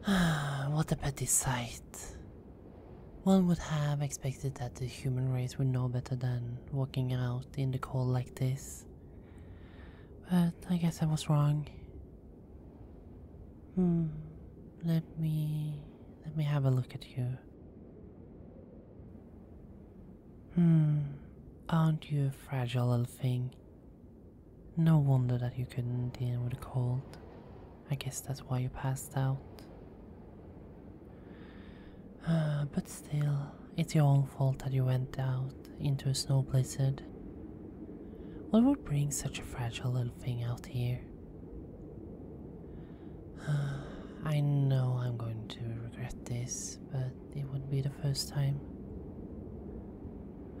what a petty sight. One would have expected that the human race would know better than walking out in the cold like this. But I guess I was wrong. Hmm, let me let me have a look at you. Hmm, aren't you a fragile little thing? No wonder that you couldn't deal with the cold. I guess that's why you passed out. Ah, but still, it's your own fault that you went out into a snow blizzard. What would bring such a fragile little thing out here? I know I'm going to regret this, but it wouldn't be the first time.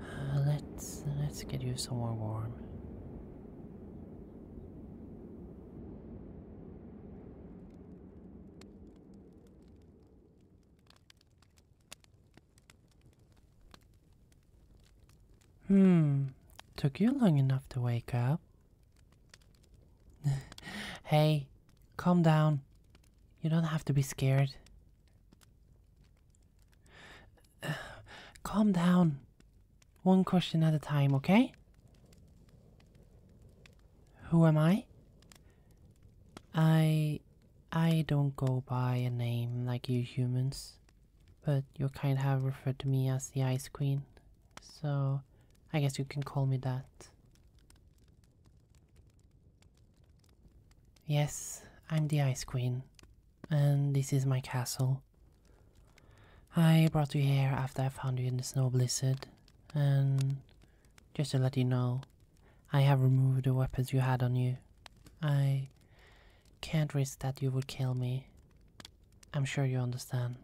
Uh, let's let's get you somewhere warm. Hmm, took you long enough to wake up. hey, calm down. You don't have to be scared. calm down. One question at a time, okay? Who am I? I. I don't go by a name like you humans. But you kind have referred to me as the Ice Queen, so I guess you can call me that. Yes, I'm the Ice Queen, and this is my castle. I brought you here after I found you in the snow blizzard, and just to let you know, I have removed the weapons you had on you. I can't risk that you would kill me. I'm sure you understand.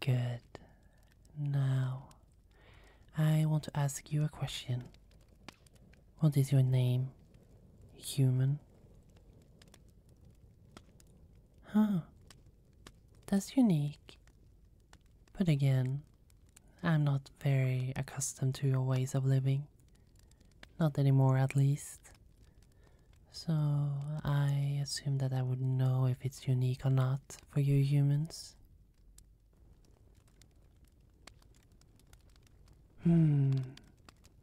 Good. Now, I want to ask you a question. What is your name, human? Huh. That's unique. But again, I'm not very accustomed to your ways of living. Not anymore, at least. So I assume that I would know if it's unique or not for you humans. Hmm.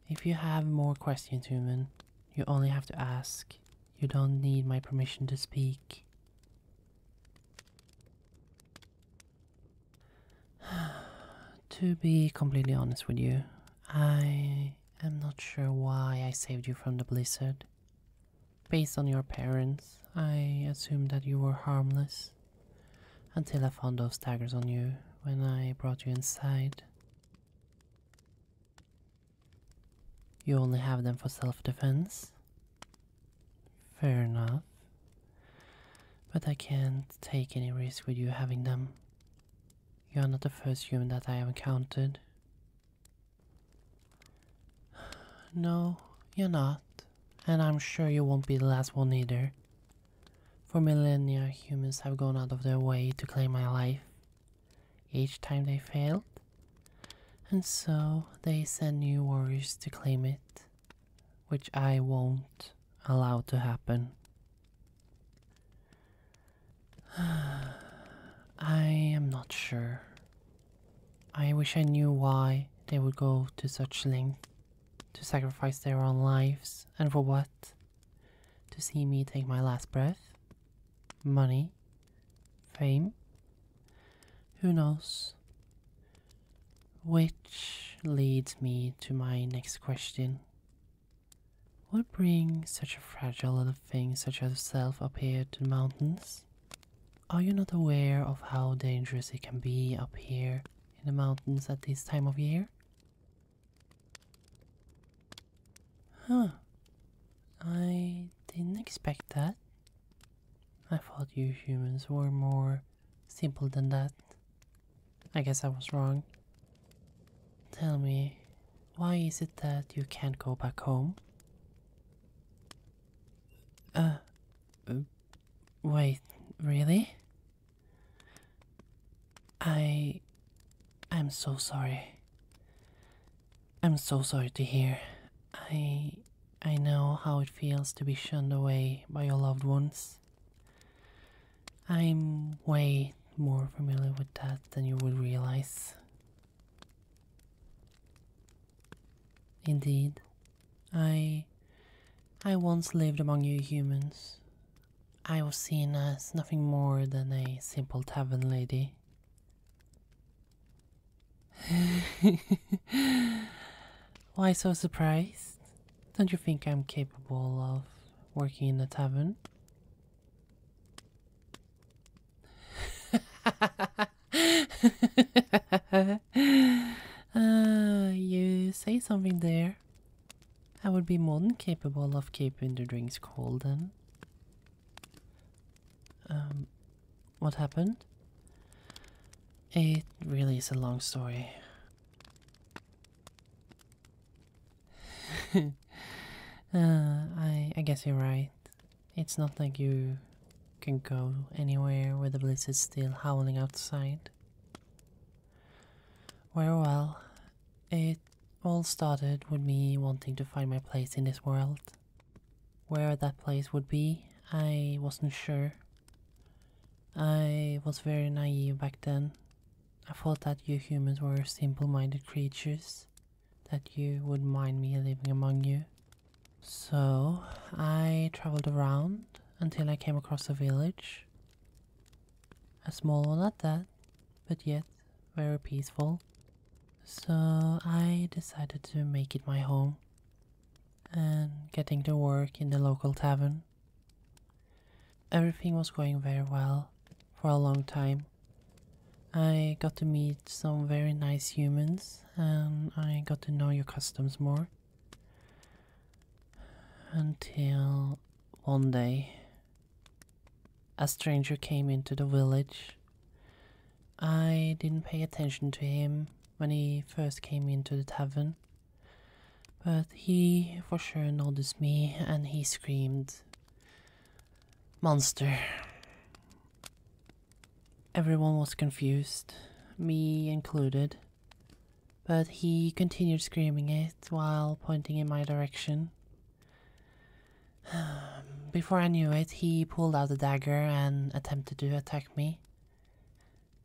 If you have more questions, human, you only have to ask. You don't need my permission to speak. to be completely honest with you, I am not sure why I saved you from the blizzard. Based on your parents, I assumed that you were harmless until I found those daggers on you when I brought you inside. You only have them for self defense? Fair enough. But I can't take any risk with you having them. You are not the first human that I have encountered. No, you're not. And I'm sure you won't be the last one either. For millennia, humans have gone out of their way to claim my life. Each time they failed. And so they send new warriors to claim it which I won't allow to happen. I am not sure. I wish I knew why they would go to such lengths to sacrifice their own lives and for what? To see me take my last breath? Money? Fame? Who knows? Which leads me to my next question. What brings such a fragile little thing such as self, up here to the mountains? Are you not aware of how dangerous it can be up here in the mountains at this time of year? Huh. I didn't expect that. I thought you humans were more simple than that. I guess I was wrong. Tell me, why is it that you can't go back home? Uh, wait, really? I. I'm so sorry. I'm so sorry to hear. I. I know how it feels to be shunned away by your loved ones. I'm way more familiar with that than you would realize. Indeed, I I once lived among you humans. I was seen as nothing more than a simple tavern lady. Why so surprised? Don't you think I'm capable of working in a tavern? uh, you say something there. I would be more than capable of keeping the drinks cold then. Um, what happened? It really is a long story. Uh, I, I guess you're right. It's not like you can go anywhere where the blizzards still howling outside. Very well. It all started with me wanting to find my place in this world. Where that place would be, I wasn't sure. I was very naive back then. I thought that you humans were simple minded creatures, that you would not mind me living among you. So I traveled around until I came across a village. A small one at that, but yet very peaceful. So I decided to make it my home and getting to work in the local tavern. Everything was going very well for a long time. I got to meet some very nice humans and I got to know your customs more. Until one day, a stranger came into the village. I didn't pay attention to him when he first came into the tavern. But he for sure noticed me and he screamed, Monster. Everyone was confused, me included. But he continued screaming it while pointing in my direction. Before I knew it, he pulled out a dagger and attempted to attack me.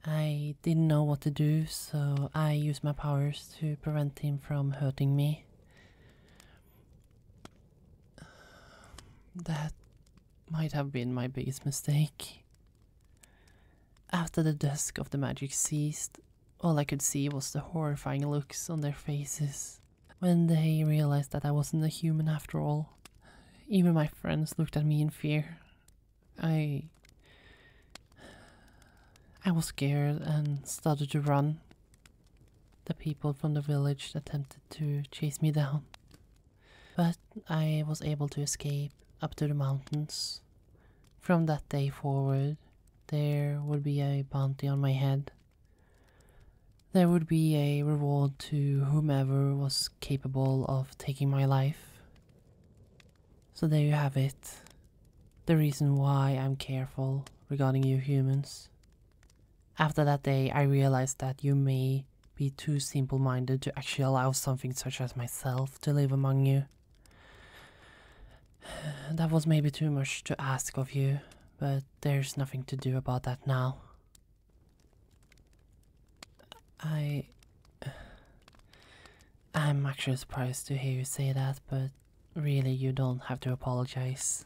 I didn't know what to do, so I used my powers to prevent him from hurting me. That might have been my biggest mistake. After the dusk of the magic ceased, all I could see was the horrifying looks on their faces when they realized that I wasn't a human after all. Even my friends looked at me in fear. I. I was scared and started to run. The people from the village attempted to chase me down, but I was able to escape up to the mountains. From that day forward, there would be a bounty on my head there would be a reward to whomever was capable of taking my life. So there you have it. The reason why I'm careful regarding you humans. After that day, I realized that you may be too simple minded to actually allow something such as myself to live among you. That was maybe too much to ask of you, but there's nothing to do about that now. I. I'm actually surprised to hear you say that, but really, you don't have to apologize.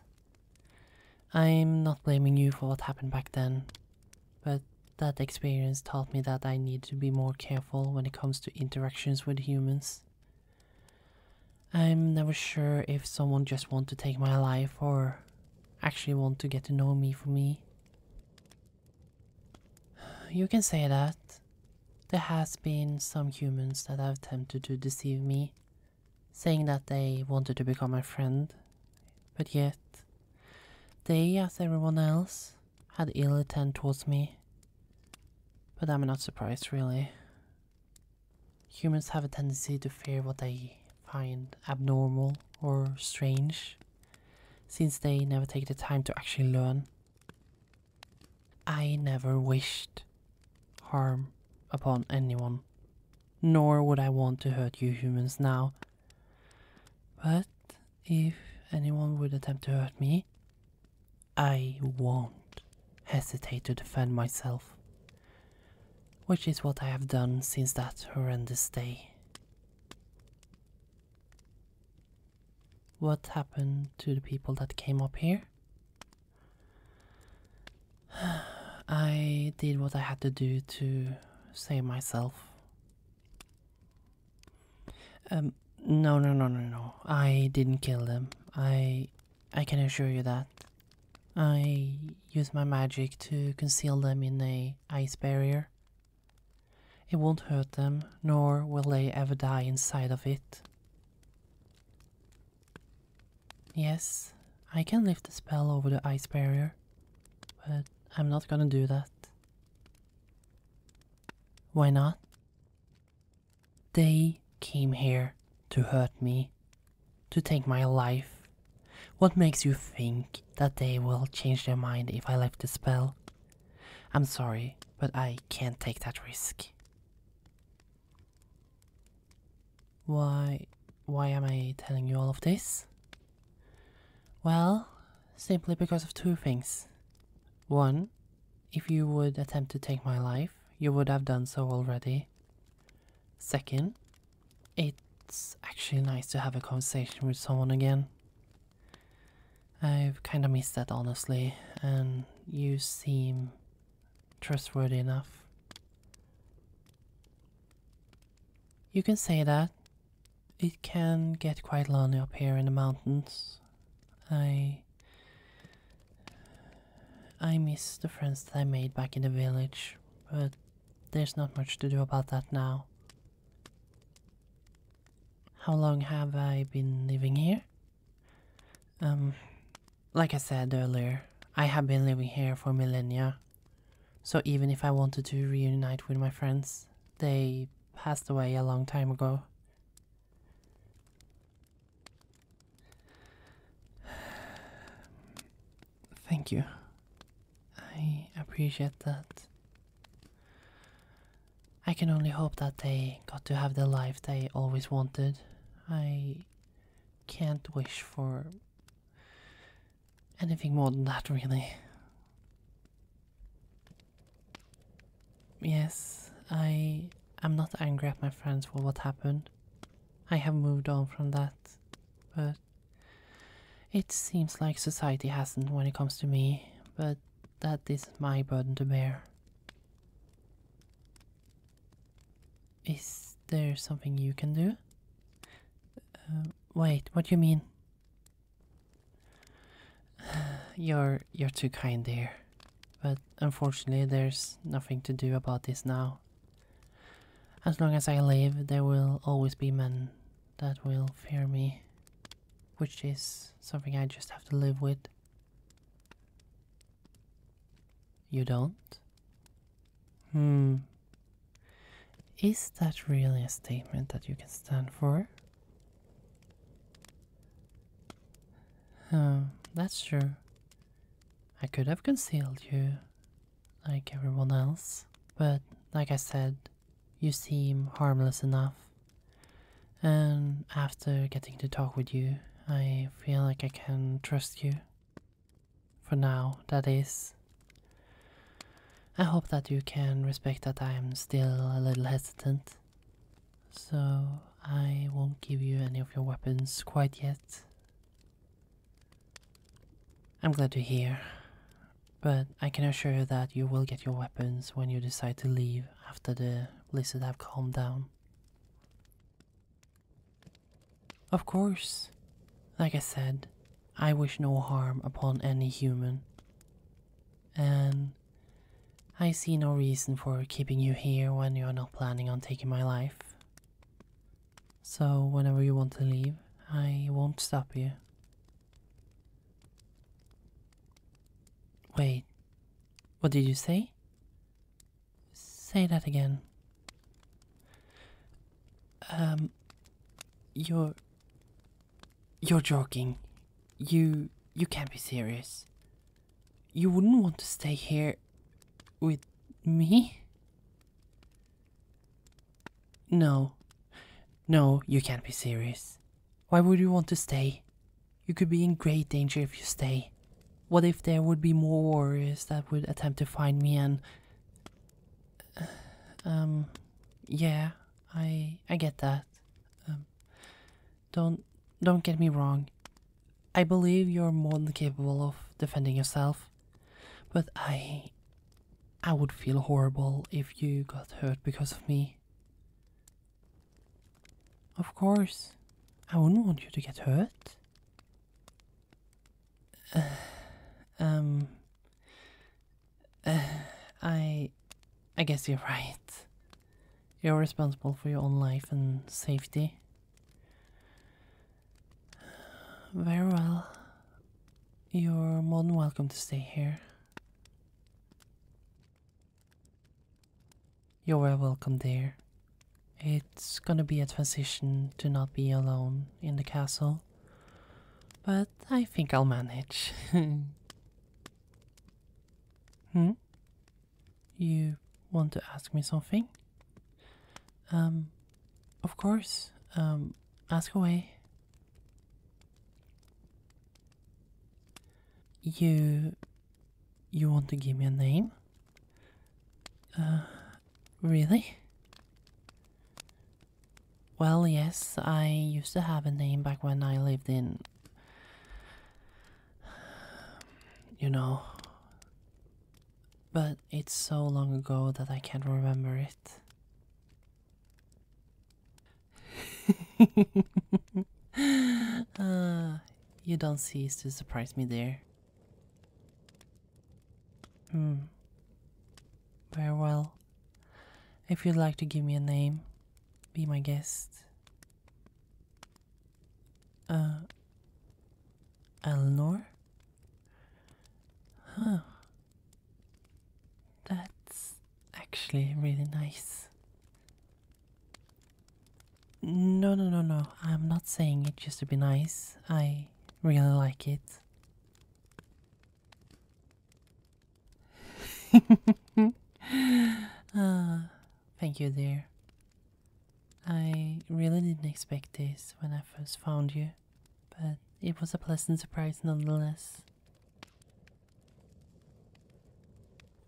I'm not blaming you for what happened back then, but that experience taught me that I need to be more careful when it comes to interactions with humans. I'm never sure if someone just wants to take my life or actually want to get to know me for me. You can say that. There has been some humans that have attempted to deceive me, saying that they wanted to become my friend, but yet they, as everyone else, had ill intent towards me. But I'm not surprised, really. Humans have a tendency to fear what they find abnormal or strange, since they never take the time to actually learn. I never wished harm upon anyone, nor would I want to hurt you humans now. But if anyone would attempt to hurt me, I won't hesitate to defend myself which is what I have done since that horrendous day. What happened to the people that came up here? I did what I had to do to save myself. Um, no, no, no, no, no. I didn't kill them. I, I can assure you that. I use my magic to conceal them in a ice barrier. It won't hurt them, nor will they ever die inside of it. Yes, I can lift the spell over the ice barrier, but I'm not gonna do that. Why not? They came here to hurt me to take my life. What makes you think that they will change their mind if I lift the spell? I'm sorry, but I can't take that risk. Why why am I telling you all of this? Well, simply because of two things. One, if you would attempt to take my life, you would have done so already. Second, it's actually nice to have a conversation with someone again. I've kind of missed that honestly, and you seem trustworthy enough. You can say that. It can get quite lonely up here in the mountains. I I miss the friends that I made back in the village, but there's not much to do about that now. How long have I been living here? Um, like I said earlier, I have been living here for millennia. So even if I wanted to reunite with my friends, they passed away a long time ago. Thank you. I appreciate that. I can only hope that they got to have the life they always wanted. I can't wish for anything more than that, really. Yes, I am not angry at my friends for what happened. I have moved on from that, but it seems like society hasn't when it comes to me, but that is my burden to bear. Is there something you can do? Uh, wait, what do you mean? You're you're too kind there, but unfortunately there's nothing to do about this now. As long as I live, there will always be men that will fear me, which is something I just have to live with. You don't? Hmm. Is that really a statement that you can stand for? Oh, that's true. I could have concealed you, like everyone else, but like I said, you seem harmless enough. And after getting to talk with you, I feel like I can trust you. For now, that is. I hope that you can respect that I am still a little hesitant. So I won't give you any of your weapons quite yet. I'm glad to hear, but I can assure you that you will get your weapons when you decide to leave after the lizard have calmed down. Of course, like I said, I wish no harm upon any human, and I see no reason for keeping you here when you are not planning on taking my life. So, whenever you want to leave, I won't stop you. Wait, what did you say? Say that again. Um, you're. You're joking. You. You can't be serious. You wouldn't want to stay here with me? No. No, you can't be serious. Why would you want to stay? You could be in great danger if you stay. What if there would be more warriors that would attempt to find me and... um, yeah, I, I get that. Um, don't don't get me wrong. I believe you're more than capable of defending yourself, but I I would feel horrible if you got hurt because of me. Of course, I wouldn't want you to get hurt. um, I, I guess you're right. You're responsible for your own life and safety. Very well. You're more than welcome to stay here. You're welcome dear. It's gonna be a transition to not be alone in the castle. But I think I'll manage. hmm? You want to ask me something? Um, of course. Um, ask away. You. You want to give me a name? Uh, really? Well, yes, I used to have a name back when I lived in. you know. But it's so long ago that I can't remember it. Ah, you don't cease to surprise me there. Hmm. Very well. If you'd like to give me a name, be my guest. Uh. Elnor? Huh. That's actually really nice. No, no, no, no. I'm not saying it just to be nice. I really like it. uh, Thank you, dear. I really didn't expect this when I first found you, but it was a pleasant surprise nonetheless.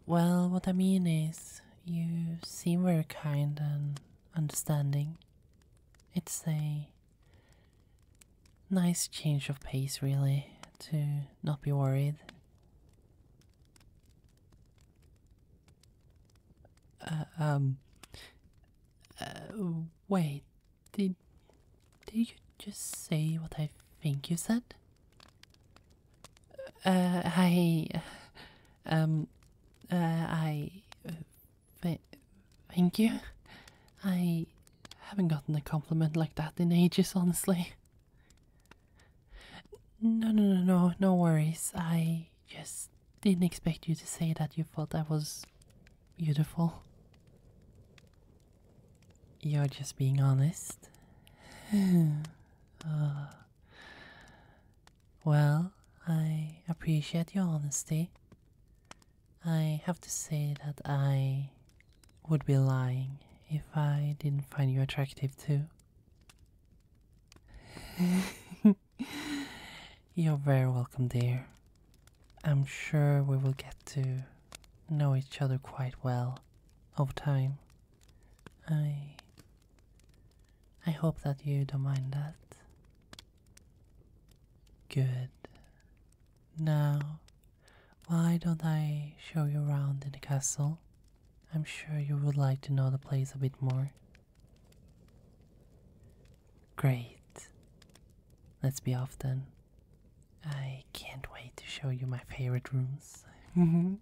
Well, what I mean is, you seem very kind and understanding. It's a nice change of pace, really, to not be worried. Uh, um. Uh, wait, did did you just say what I think you said? Uh, I, um, uh, I, uh, thank you. I haven't gotten a compliment like that in ages, honestly. No, no, no, no, no worries. I just didn't expect you to say that you thought I was beautiful. You're just being honest. Uh, well, I appreciate your honesty. I have to say that I would be lying if I didn't find you attractive too. You're very welcome, dear. I'm sure we will get to know each other quite well over time. I I hope that you don't mind that. Good. Now why don't I show you around in the castle? I'm sure you would like to know the place a bit more. Great. Let's be off then. I can't wait to show you my favorite rooms.